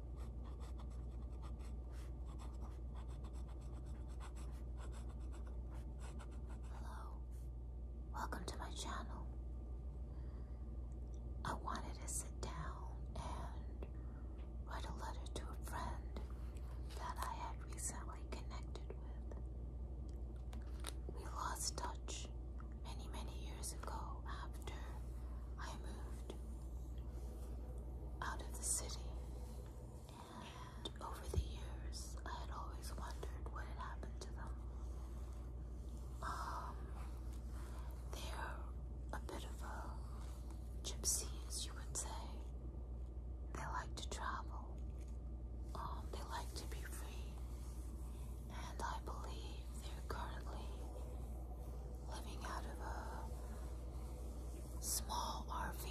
Hello, welcome to my channel. I wanted to sit down and write a letter to a friend that I had recently connected with. We lost touch many, many years ago after I moved out of the city. over the years, I had always wondered what had happened to them. Um, they're a bit of a gypsy, as you would say. They like to travel. Um, they like to be free, and I believe they're currently living out of a small RV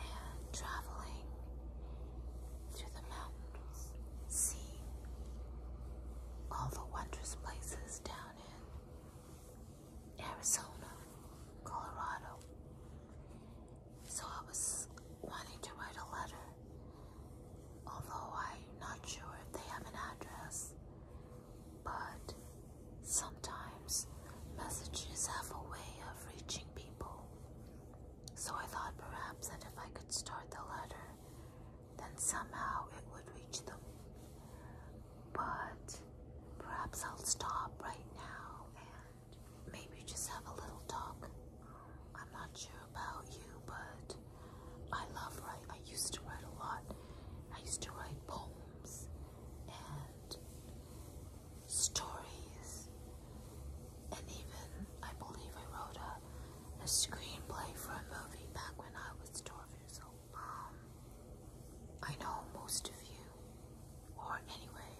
and traveling through the mountains, seeing all the wondrous places down in Arizona, Colorado. So I was wanting to write a letter, although I'm not sure if they have an address. But sometimes messages have a way of reaching people. So I thought perhaps that if I could start the letter, then somehow it would reach them. But perhaps I'll stop right now and maybe just have a little talk. I'm not sure about you, but I love writing. I used to write a lot. I used to write poems and stories, and even I believe I wrote a, a screenplay for a movie back when I was 12 years old. Um, I know most of you, or anyway,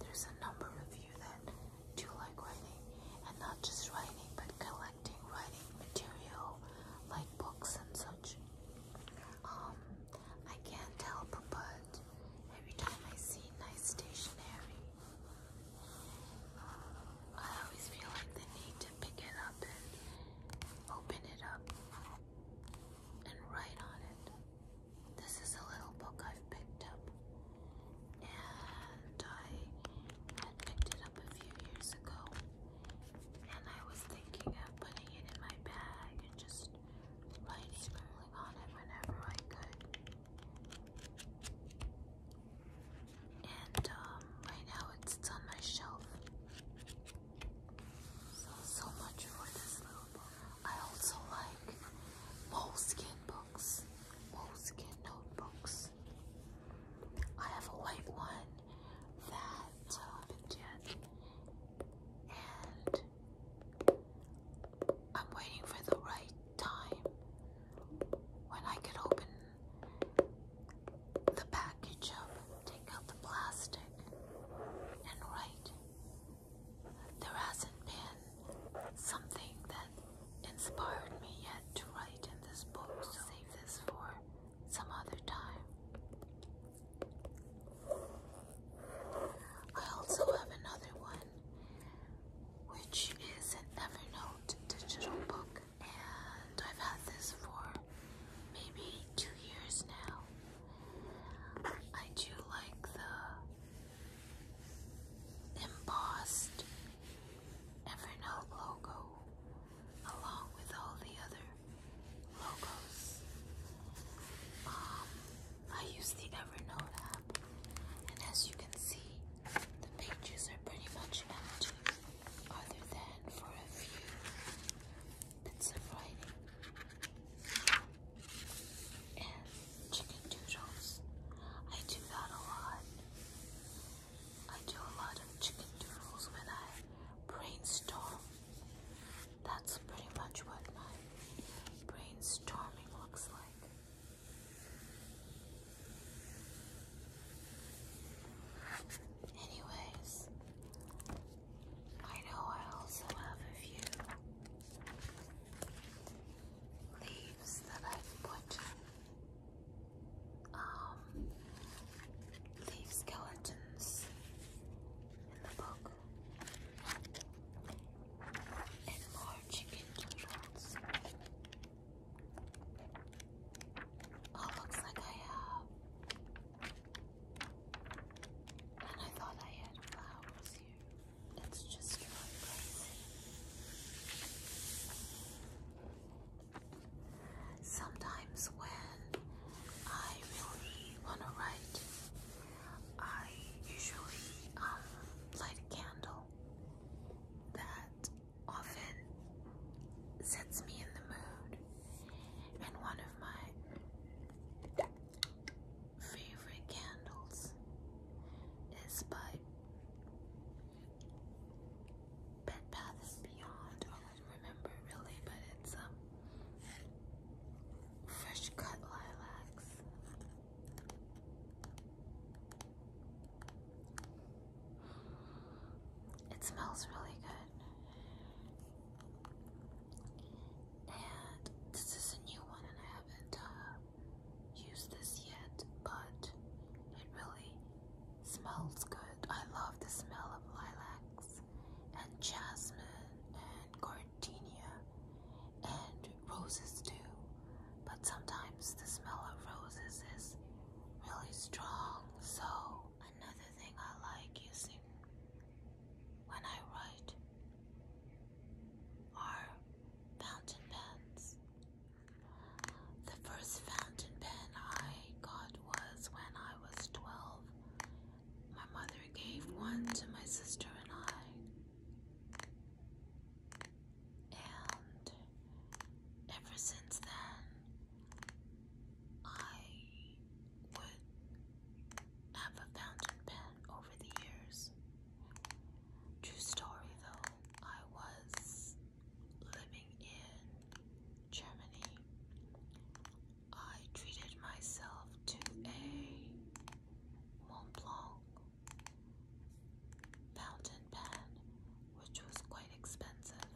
there's a number of you that do like writing, and not just writing, but collecting writing material like books and such. Um, I can't help but every time I see nice stationery, I always feel like the need to pick it up and open it up and write on it. This is a little book I've picked up, and I had picked it up a few years ago, and I was thinking of putting it in my bag and just lighting on it whenever I could. And um, right now it sits on my shelf. So, much for this I also like moleskin books, moleskin notebooks. I have a white one that uh, big jet, and I'm waiting for the right time when I could open the package up, take out the plastic, and write. There hasn't been something that inspired me yet to write in this book, to save this for some other time. I also have another one, which is an Evernote digital book, and I've had this for maybe two years now. I do like the embossed Evernote logo along with all the other logos. Um, I use the Evernote app, and as you can see, the pages are pretty much empty, other than for a few bits of writing. And chicken doodles. I do that a lot. I do a lot of chicken doodles when I brainstorm. That's pretty much what my brainstorming looks like. Anyways, I know I also have a few leaves that I've put um, leaf skeletons in the book, and more chicken noodles. Oh, looks like I have. And I thought I had flowers here. It's just really crazy. Sometimes when I really want to write, I usually um, light a candle that often sets me in the mood. And one of my favorite candles is by Bed Bath & Beyond remember really, but it's um fresh cut lilacs. It smells really good. And this is a new one and I haven't uh, used this yet, but it really Smells good. I love the smell of lilacs and jasmine and gardenia and roses too. But sometimes the smell of roses is really strong. So, another thing I like using when I write are fountain pens. The first fountain pen I got was when I was 12. My mother gave one to my sister and I. And ever since then, I would have a fountain pen over the years. True story though, I was living in Germany I treated myself to a Mont fountain pen, which was quite expensive,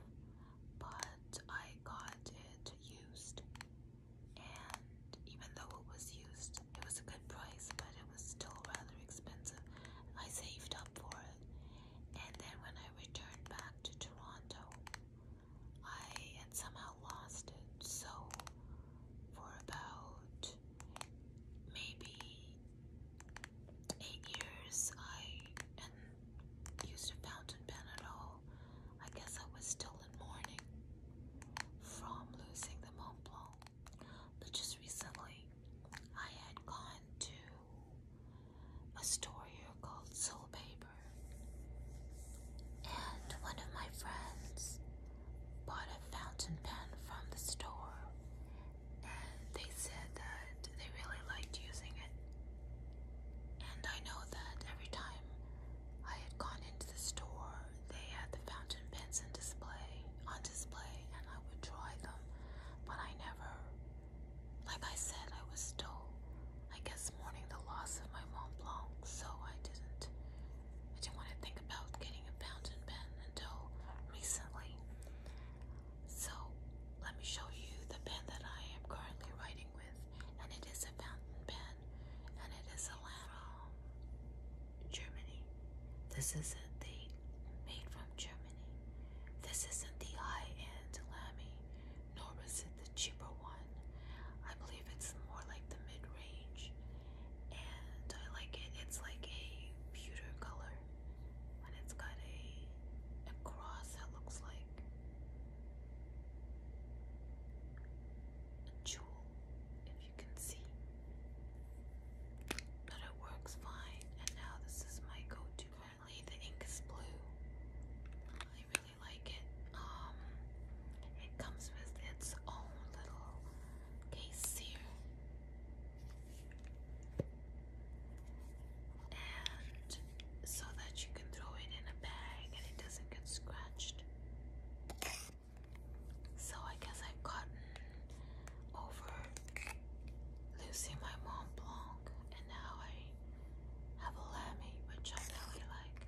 but I got it used. And even though it was used, it was a good price, but it was still rather expensive. I saved up for it. And then when I returned back to Toronto, I had somehow lost it. So, for about maybe eight years, I used a fountain pen at all. I guess I was still in mourning from losing the Mont But just recently, I had gone to a store here called Soul Paper. And one of my friends bought a fountain pen from the store, and they said that they really liked using it. And I know that every time I had gone into the store, they had the fountain pens in display, on display, and I would try them, but I never like I said, I was still, I guess, mourning the loss of my Mont Blanc, so I didn't. I didn't want to think about getting a fountain pen until recently. So let me show you the pen that I am currently writing with, and it is a fountain pen, and it is a lamp Germany. This isn't the made from Germany. This isn't the high-end Lamy nor is it the cheaper one. I believe it's more like the mid range, and I like it. It's like a pewter color, and it's got a, a cross that looks like a jewel, if you can see. But it works fine, and now this is my go to. Currently, the ink is blue. I really I like it. Um, it comes with its own little case here. And so that you can throw it in a bag and it doesn't get scratched. So I guess I've gotten over losing my Mont and now I have a lammy, which I know like.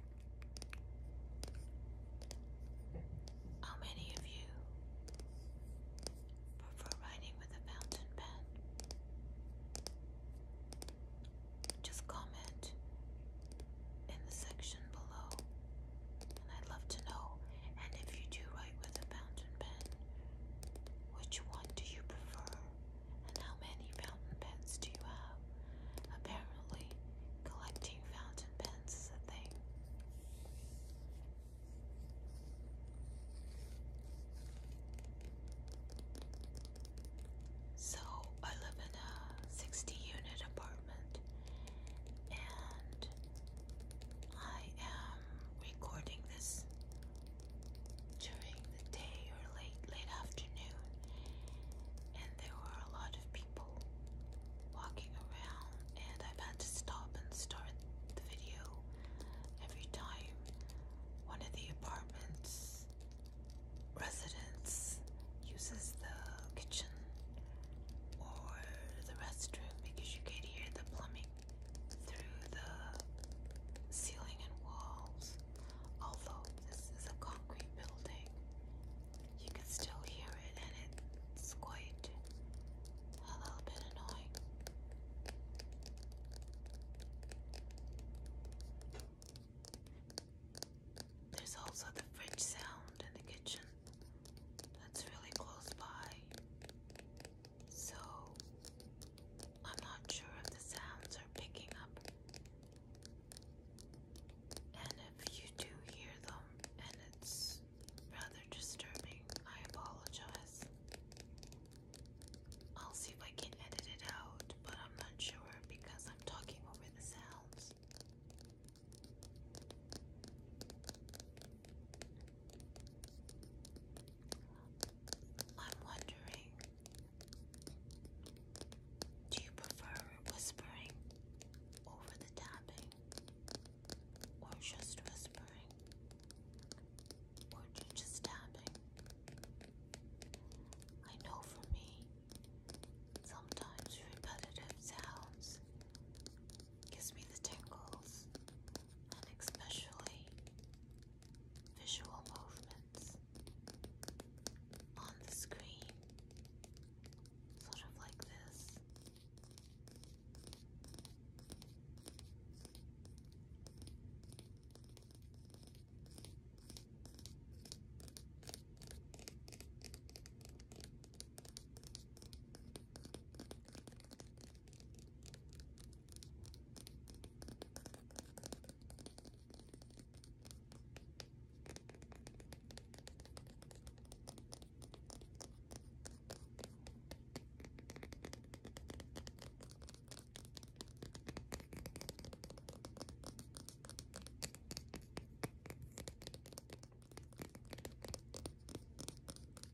How many of you prefer writing with a fountain pen? Just comment in the section below, and I'd love to know. And if you do write with a fountain pen, which one do you prefer? And how many fountain pens do you have? Apparently, collecting fountain pens is a thing. So, I live in a 60 unit apartment and I am recording this during the day or late late afternoon and there were a lot of people walking around and I've had to stop and start the video every time one of the apartments residents uses the kitchen or the restroom because you can hear the plumbing through the ceiling and walls Although this is a concrete building, you can still hear it and it's quite a little bit annoying. There's also the fridge sound in the kitchen that's really close by. So I'm not sure if the sounds are picking up and if you do hear them and it's rather disturbing, I apologize. I'll see if I can edit it out, but I'm not sure because I'm talking over the sounds. I'm wondering do you prefer whispering over the tapping? Or just whispering? Or just tapping? I know for me, sometimes repetitive sounds gives me the tingles, and especially visual movements on the screen, sort of like this.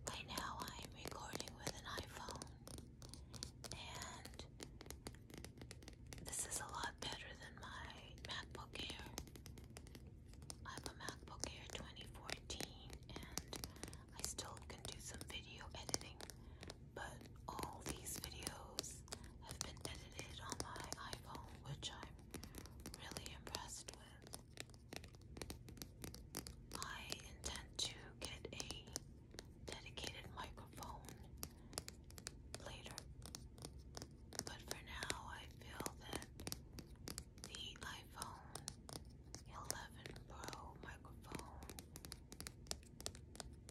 Right now, I'm recording with an iPhone, and this is a lot better than my MacBook Air. I have a MacBook Air 2014 and I still can do some video editing, but all these videos have been edited on my iPhone, which I'm really impressed with. I intend to get a dedicated microphone later. But for now, I feel that the iPhone 11 Pro microphone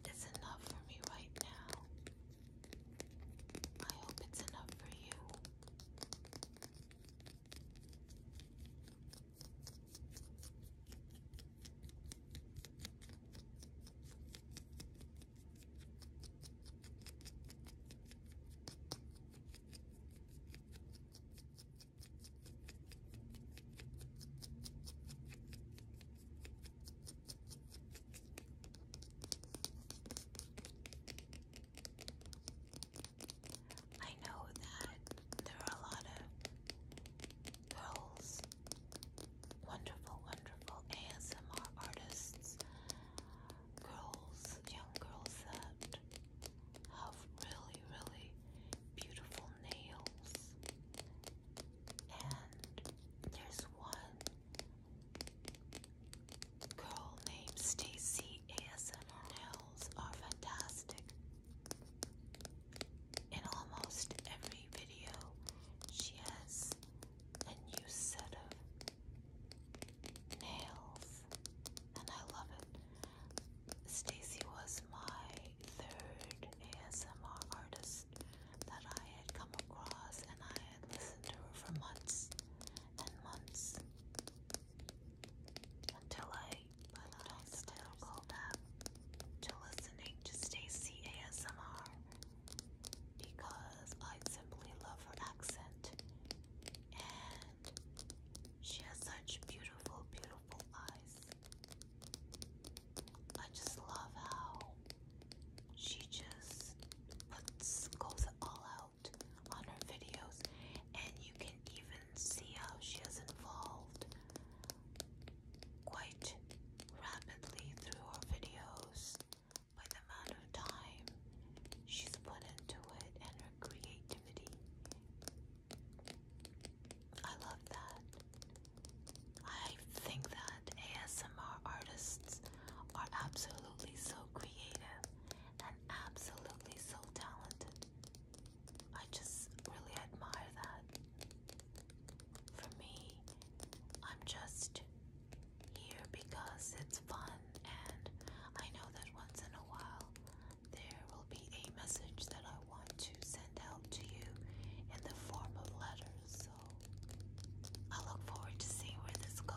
is enough for me right now. I hope it's enough for you. I know that there are a lot of girls wonderful, wonderful ASMR artists, girls, young girls that have really, really beautiful nails. And there's one girl named Stacy ASMR nails are fantastic. In almost every video, she has a new set of nails, and I love it. Stacy was my third ASMR artist that I had come across, and I had listened to her for months and months until I put on the to listening to Stacy ASMR because I simply love her accent and she has such beautiful, beautiful eyes. I just love how she just puts, goes all out on her videos, and you can even see how she has evolved quite rapidly through her videos by the amount of time she's put into it and her creativity. I love that. I think that ASMR artists are absolutely so creative and absolutely so talented. I just really admire that. For me, I'm just here because it's fun, and I know that once in a while there will be a message that I want to send out to you in the form of letters. So I look forward to seeing where this goes.